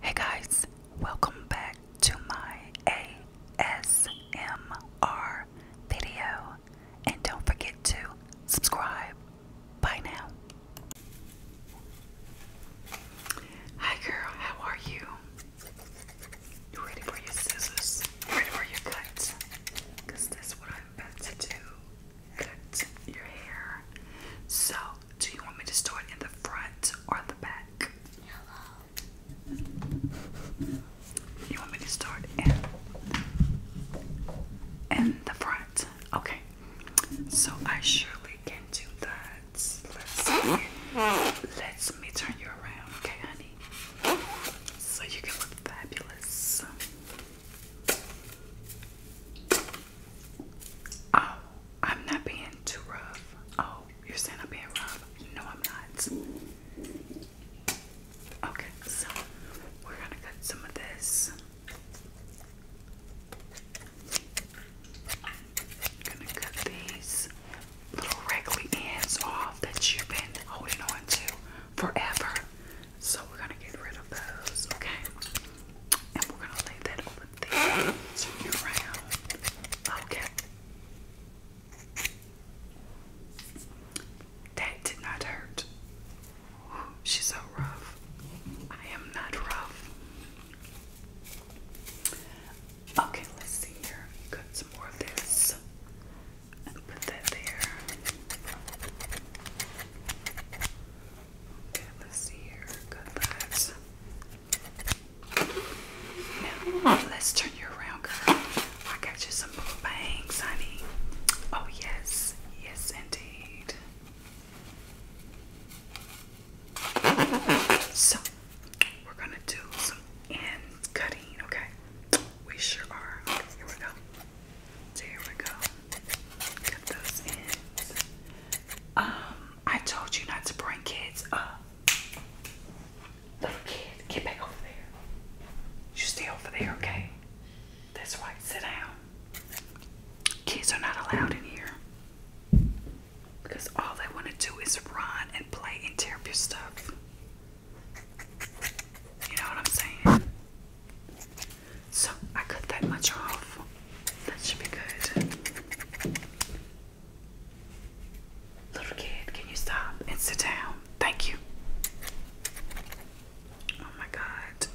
Hey guys, welcome back to my ASMR video. And don't forget to subscribe. Bye now. Hi girl, how are you? ready for your scissors? Ready for your cut? that's what I'm about to do cut your hair. So, do you want me to start in the front or the back? Hello. You want me to start in in the front? Okay. So I surely can do that. Let's let me turn you around, okay, honey? So you can look fabulous. Oh, I'm not being too rough. Oh, you're saying I'm being rough? No, I'm not. Okay, so we're gonna cut some of this. gonna cut these little raggedy ends off that you've been holding on to forever. So we're gonna get rid of those, okay? And we're gonna lay that over there. Turn it around. Okay. That did not hurt. she's so rough. I am not rough. Okay, let's see here. Got some more of this put that there. Okay, let's see here. Good let's turn you around, girl. I got you some blue bangs, honey. Oh, yes. Yes, indeed. So, we're gonna do some end cutting, okay? We sure are. here we go. So here we go. Get those in. Um, I told you not to bring kids up. Little kid, get back over there. You stay over there, okay? That's right, sit down. Kids are not allowed in here. Because all they want to do is run and play and tear up your stuff. You know what I'm saying? So I cut that much off. That should be good. Little kid, can you stop and sit down? Thank you. Oh my god.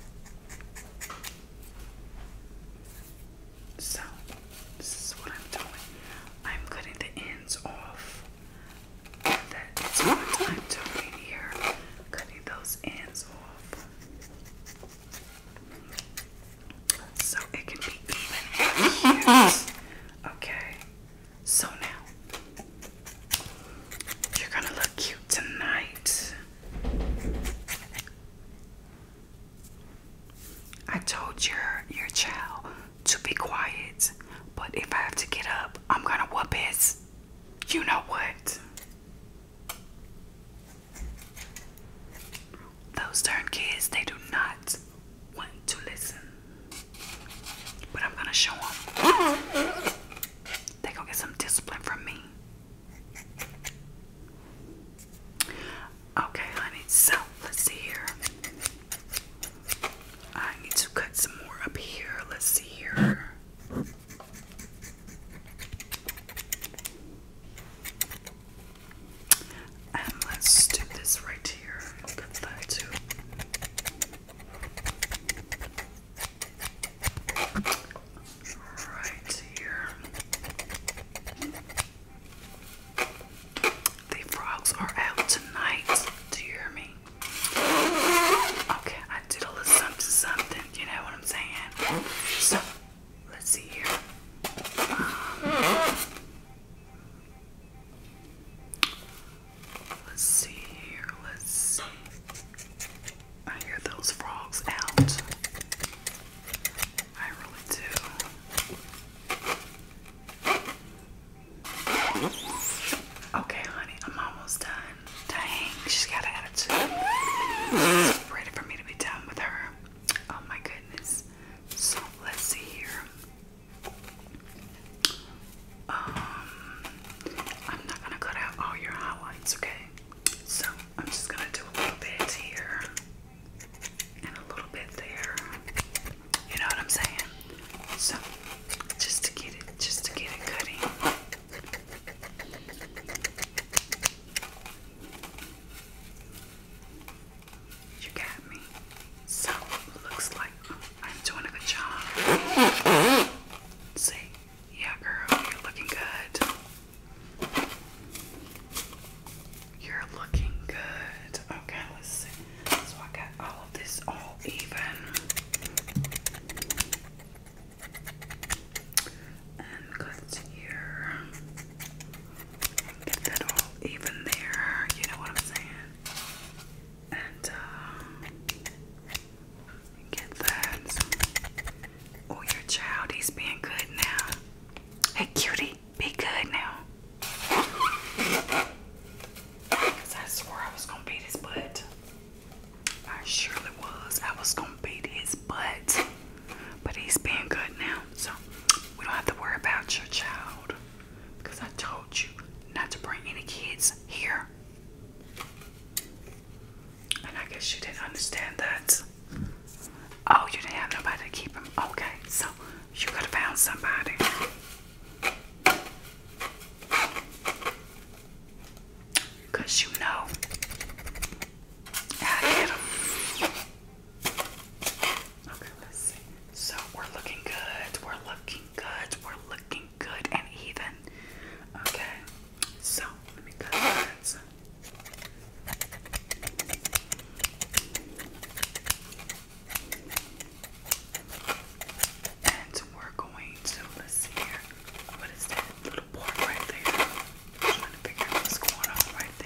So, this is what I'm doing. I'm cutting the ends off that it's my here, cutting those ends off. So it can be even Okay, so now you're gonna look cute tonight. I told your your child to be quiet. But if I have to get up, I'm gonna whoop it. You know what? Those darn kids, they do not want to listen. But I'm gonna show them. They gonna get some discipline from me. Okay, honey, so let's see here. I need to cut some more up here. Let's see here. And let's do this right here. Cut that too. Right here. The frogs are out tonight. Do you hear me? Okay, I did a little something, something. You know what I'm saying? So, let's see here. Um, let's see here. Let's I hear those frogs out. Okay, honey, I'm almost done. Dang, she's got an attitude. ready for me to be done with her. Oh my goodness. So let's see here. Um, I'm not gonna cut out all your highlights, okay? So I'm just gonna do a little bit here and a little bit there. You know what I'm saying? So just to get it, just to get it cutting. You got me. So looks like I'm doing a good job. See? Yeah, girl, you're looking good. You're looking good. Okay, let's see. So I got all of this all even. And cut here. Get that all even there. You know what I'm saying? And, um, Get those. Oh, your child, he's being good now. Hey, cutie, be good now. I swore I was going to beat his butt. I surely was. I was going to beat his butt. But he's being good now. So we don't have to worry about your child. Because I told you not to bring any kids here. And I guess you didn't understand that. Oh, you didn't have nobody to keep him. Okay, so you could have found somebody. Because you know how get him. Okay, let's see. So we're looking good, we're looking good, we're looking good and even. Okay. So let me cut that. And we're going to let's see here. What is that little part right there? I'm trying to figure out what's going on right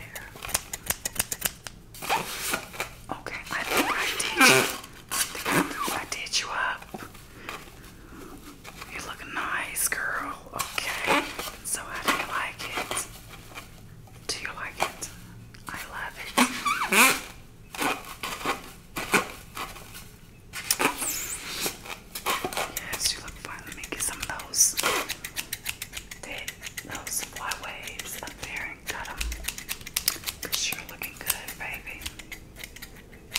there. Okay, I did you. I did you up. You look nice, girl. Okay. So how do you like it? Do you like it? I love it. Yes, you look fine. Let me get some of those. those fly up there and cut you you're looking good, baby you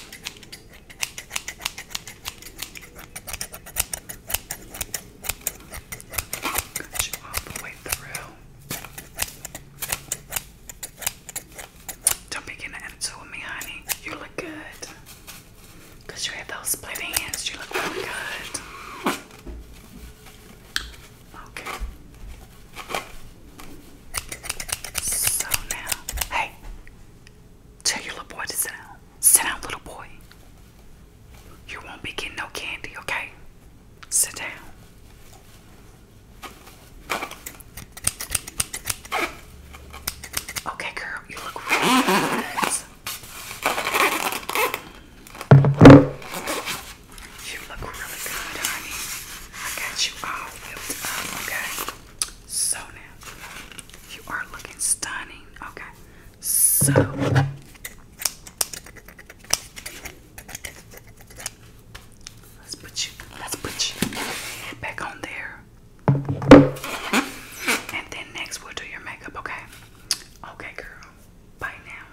Don't be getting an me, honey. You look good. Because you have those split ends. You look really good. Okay. So now, hey, tell your little boy to sit down. Sit down, little boy. You won't be getting no candy, okay? Sit down. Okay, girl, you look really you look really good, honey. I got you all built up, okay? So now, you are looking stunning, okay? So, let's put you, let's put you back on there. And then next, we'll do your makeup, okay? Okay, girl. Bye now.